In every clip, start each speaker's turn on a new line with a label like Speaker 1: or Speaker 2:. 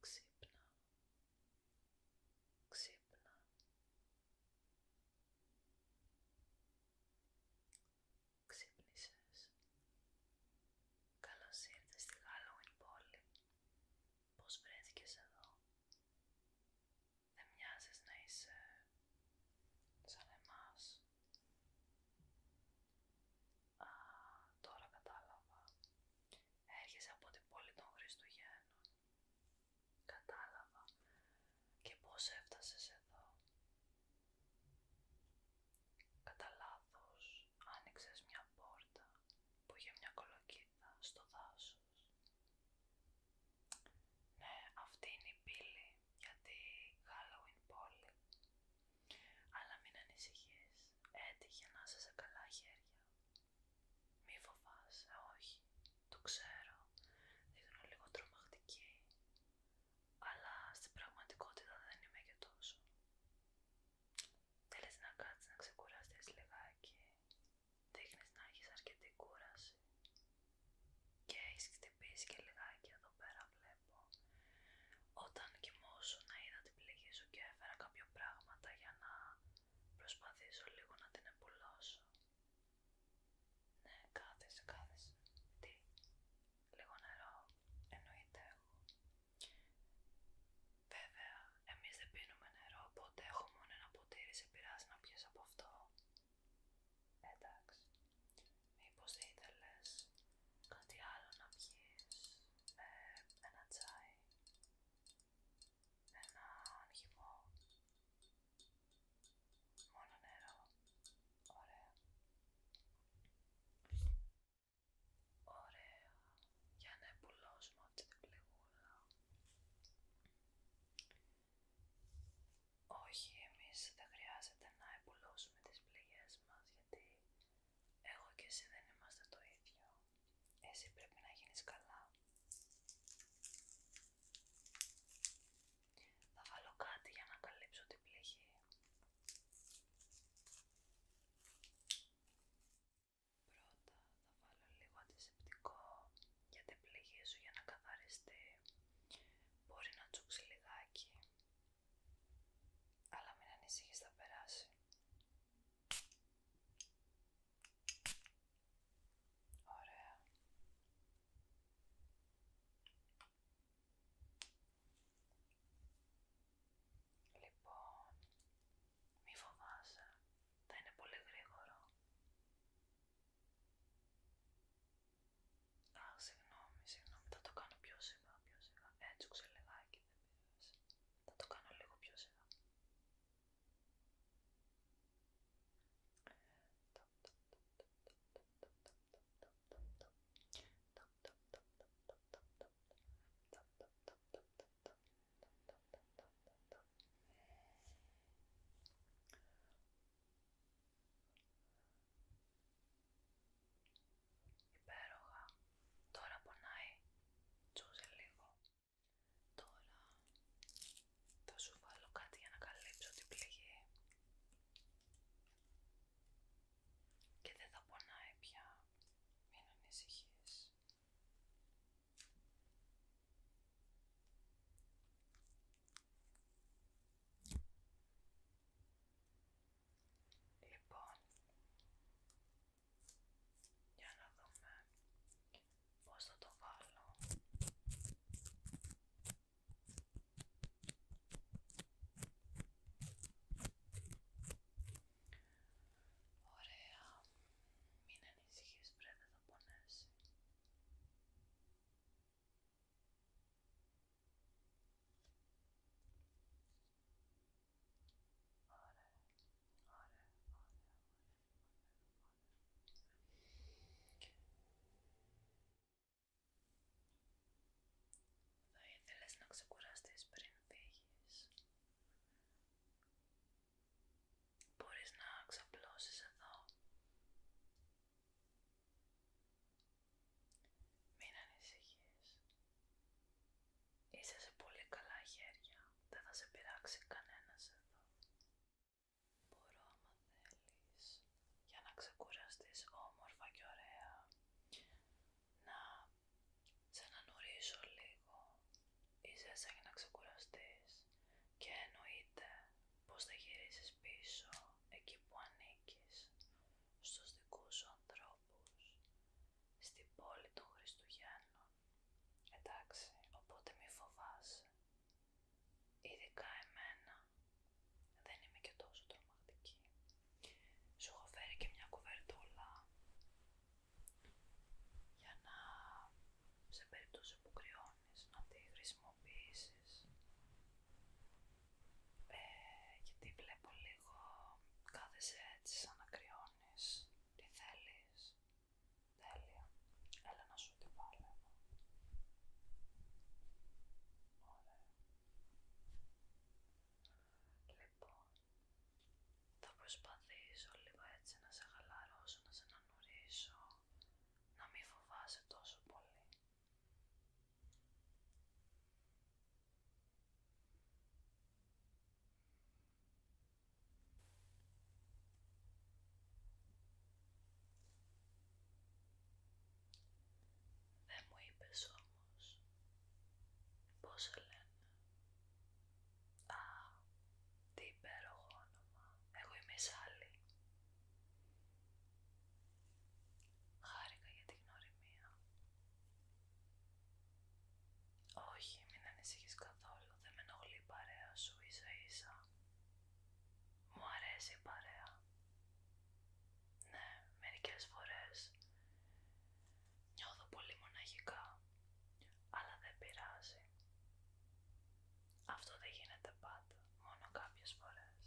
Speaker 1: Ξύπνα, ξύπνα, ξύπνησες. Καλώς ήρθες στη Halloween πόλη. Πώς βρέθηκες εδώ. Δεν μοιάζεις να είσαι σαν εμάς. Α, τώρα κατάλαβα. Έρχεσαι από την πόλη των Χριστουγέννων. Κατάλαβα. Και πώς έφτασες εδώ. Κατά λάθος άνοιξες μια πόρτα που είχε μια κολοκύθα στο δάσος. Ναι, αυτή είναι η πύλη για τη Halloween πόλη Αλλά μην ανησυχείς, έτυχε να είσαι σε καλά χέρια. Μη φοβάσαι, όχι, το ξέρω, είναι λίγο τρομακτική, αλλά στην πραγματικότητα δεν είμαι και τόσο. Θέλεις να κάτσεις να ξεκουραστείς λιγάκι, δείχνεις να έχεις αρκετή κούραση και έχεις χτυπήσει και λιγάκι εδώ πέρα βλέπω όταν Όταν να είδα την πληγή σου και έφερα κάποια πράγματα για να προσπαθήσω λίγο να την εμπουλώσω. Ναι, κάθεσαι, κάθεσαι. Τι, λίγο νερό, εννοείται εγώ. Βέβαια, εμείς δεν πίνουμε νερό, οπότε έχω μόνο ένα ποτήρι, σε να πιεις από αυτό. Εντάξει. Μήπως θα ήθελες κάτι άλλο να πιεις, ε, ένα τσάι, έναν χυμό, μόνο νερό, ωραία. Ωραία, για να εμπουλώσουμε αυτή την πληγούλα. Όχι, εμείς δεν χρειάζεται να επουλώσουμε τις πληγές μας, γιατί εγώ και εσύ δεν είμαστε το ίδιο. Εσύ πρέπει να γίνεις καλά. Θα βάλω κάτι για να καλύψω την πληγή. Πρώτα θα βάλω λίγο αντισηπτικό για την πληγή σου για να καθαριστεί. Μπορεί να τσούξει λιγάκι, αλλά μην ανησυχείς θα περάσει. Ωραία. Λοιπόν, μη φοβάσαι, θα είναι πολύ γρήγορο. Αχ, συγγνώμη, συγγνώμη, θα το κάνω πιο σιγά, πιο σιγά. Έτσι ξελεγάκι δεν πειράζει. Θα το κάνω λίγο πιο σιγά. Υπέροχα. Τώρα πονάει. Τσούζε λίγο. Τώρα θα σου βάλω κάτι για να καλύψω την πληγή. Και δεν θα πονάει πια. Μην ανησυχείς. Λοιπόν, για να δούμε πώς θα το βάλω. Ωραία, μην ανησυχείς πρέπει, θα πονέσει. Θα ήθελες να ξεκουραστείς πριν φύγεις. Μπορείς να ξαπλώσεις εδώ. Μην ανησυχείς. Είσαι σε πολύ καλά χέρια. Δεν θα σε πειράξει κανένας εδώ. Μπορώ άμα θέλεις για να ξεκουραστείς όμορφα και ωραία να να ανανουρίσω λίγο ίσως για να ξεκουραστείς και εννοείται πως θα γυρίσεις πίσω εκεί που ανήκεις στους δικούς σου ανθρώπους στην πόλη των Χριστουγέννων εντάξει οπότε μη φοβάσαι ειδικά εμένα δεν είμαι και τόσο τρομακτική σου έχω φέρει και μια κουβερτούλα για να σε περίπτωση που κρυώνεις να τη χρησιμοποιήσεις ε, γιατί βλέπω λίγο
Speaker 2: κάθε έτσι σαν
Speaker 1: να κρυώνεις τι θέλεις τέλεια έλα να σου τη βάλω Ωραία. Λοιπόν, θα προσπαθήσω λίγο έτσι να σε χαλαρώσω, να σε ανανουρίσω, να μην φοβάσαι τόσο πολύ. Δεν μου είπες όμως Πώς σε λένε. Α, τι υπέροχο όνομα. Εγώ είμαι η Σάλη. Χάρηκα για την γνωριμία. Όχι, μην ανησυχείς καθόλου. Δεν με ενοχλεί η παρέα σου ίσα ίσα. Μου αρέσει η παρέα. Ναι, μερικές φορές Νιώθω πολύ μοναχικά, αλλά δεν πειράζει. Αυτό δεν γίνεται πάντα, μόνο κάποιες φορές.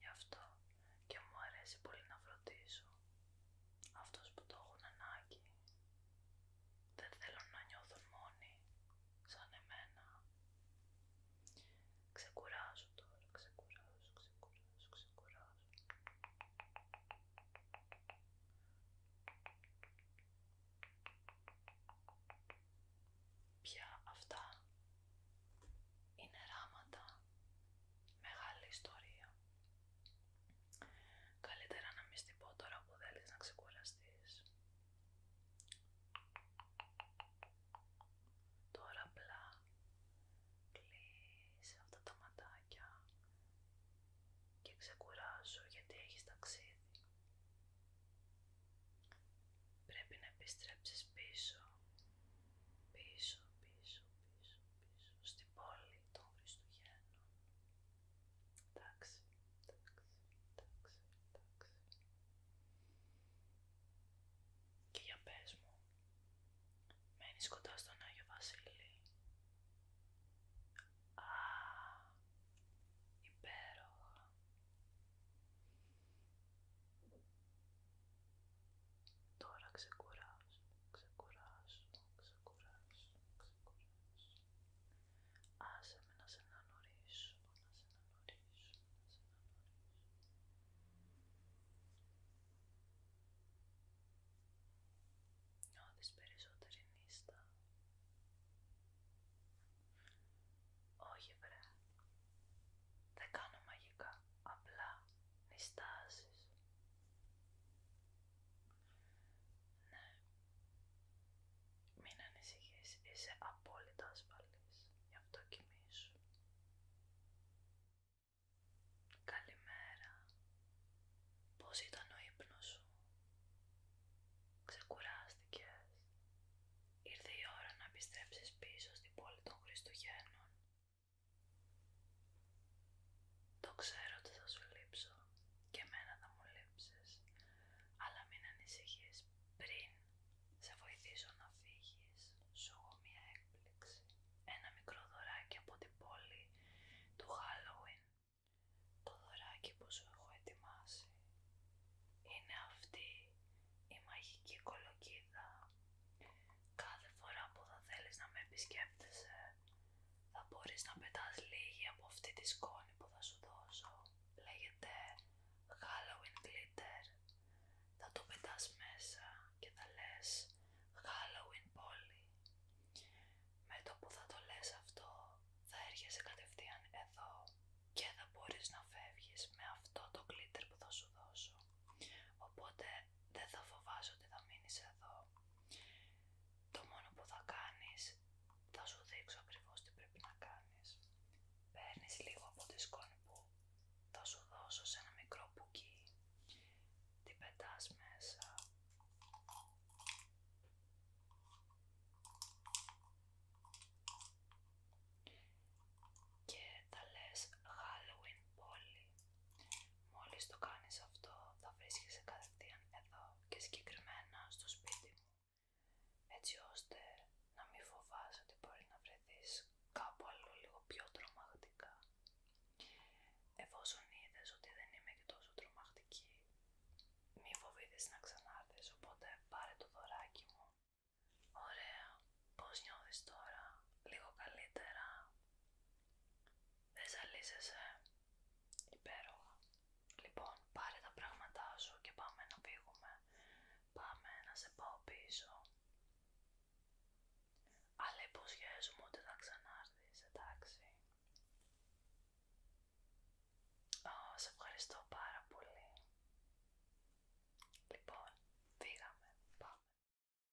Speaker 1: Γι' αυτό και μου αρέσει πολύ να φροντίζω αυτούς που το έχουν ανάγκη. Δεν θέλω να νιώθουν μόνη, σαν εμένα. Ξεκουράζω τώρα, ξεκουράζω, ξεκουράζω, ξεκουράζω. Πια αυτά είναι ράματα, μεγάλη ιστορία. Καλύτερα να μη στυπώ πω τώρα που θέλεις να ξεκουραστείς Τώρα απλά κλείς αυτά τα ματάκια και ξεκουράζω γιατί έχεις ταξίδι. Πρέπει να επιστρέψεις πίσω, πίσω, πίσω, πίσω, πίσω, στην πόλη των Χριστουγέννων. Εντάξει, εντάξει, εντάξει, εντάξει. Και για πες μου, μένεις κοντά στον Άγιο Βασίλη. Α, υπέροχα. Τώρα ξεκουράζω, ξεκουράζω, ξεκουράζω, ξεκουράζω. Άσε με να σε αναγνωρίσω, να σε αναγνωρίσω, να σε αναγνωρίσω. Νιώθεις περισσότερη νύστα. Όχι βρε, δεν κάνω μαγικά, απλά νιστάζεις. Ναι. Μην ανησυχείς, είσαι απόλυτα ασφαλής. Για αυτό κοιμήσου. Καλημέρα. Πώς ήταν ο ύπνος σου. Ξεκουράστηκες. Ήρθε η ώρα να επιστρέψεις πίσω στην πόλη των Χριστουγέννων. Το ξέρω ότι θα σου λείψω και μένα θα μου λείψεις, αλλά μην ανησυχείς, πριν σε βοηθήσω να φύγεις, σου έχω μία έκπληξη, ένα μικρό δωράκι από την πόλη του Halloween. Το δωράκι που σου έχω ετοιμάσει είναι αυτή η μαγική κολοκύδα. Κάθε φορά που θα θέλεις να με επισκέπτεσαι, θα μπορείς να πετάς λίγη από αυτή τη σκόνη που θα σου δώσω. Λέγεται Halloween Glitter. Θα το πετάς μέσα και θα λες Halloween Polly. Με το που θα το λες αυτό θα έρχεσαι κατευθείαν εδώ και θα μπορείς να φεύγεις με αυτό το glitter που θα σου δώσω. Οπότε δεν θα φοβάσω ότι θα μείνεις εδώ. Το μόνο που θα κάνεις, θα σου δείξω ακριβώς τι πρέπει να κάνεις. Παίρνεις λίγο από τη σκόνη που σου δώσω σε ένα μικρό πουκί. την πετάς μέσα. Και τα λες Halloween Polly Μόλις το κάνεις αυτό θα βρίσκεσαι κατευθείαν εδώ και συγκεκριμένα στο σπίτι μου έτσι ώστε να μην φοβάσαι ότι μπορεί να βρεθείς κάπου αλλού λίγο πιο τρομακτικά. Εφόσον είδες ότι δεν είμαι και τόσο τρομακτική, μη φοβήθεις να ξανάρθεις, οπότε πάρε το δωράκι μου. Ωραία, πώς νιώθεις τώρα, λίγο καλύτερα, δεν ζαλίζεσαι υπέροχα. Λοιπόν, πάρε τα πράγματά σου και πάμε να πήγουμε! Πάμε να σε πάω πίσω. Αλλά υποσχέζομαι ότι θα ξανάρθεις, εντάξει. Ω, σε ευχαριστώ πάρα πολύ. Λοιπόν, φύγαμε. Πάμε.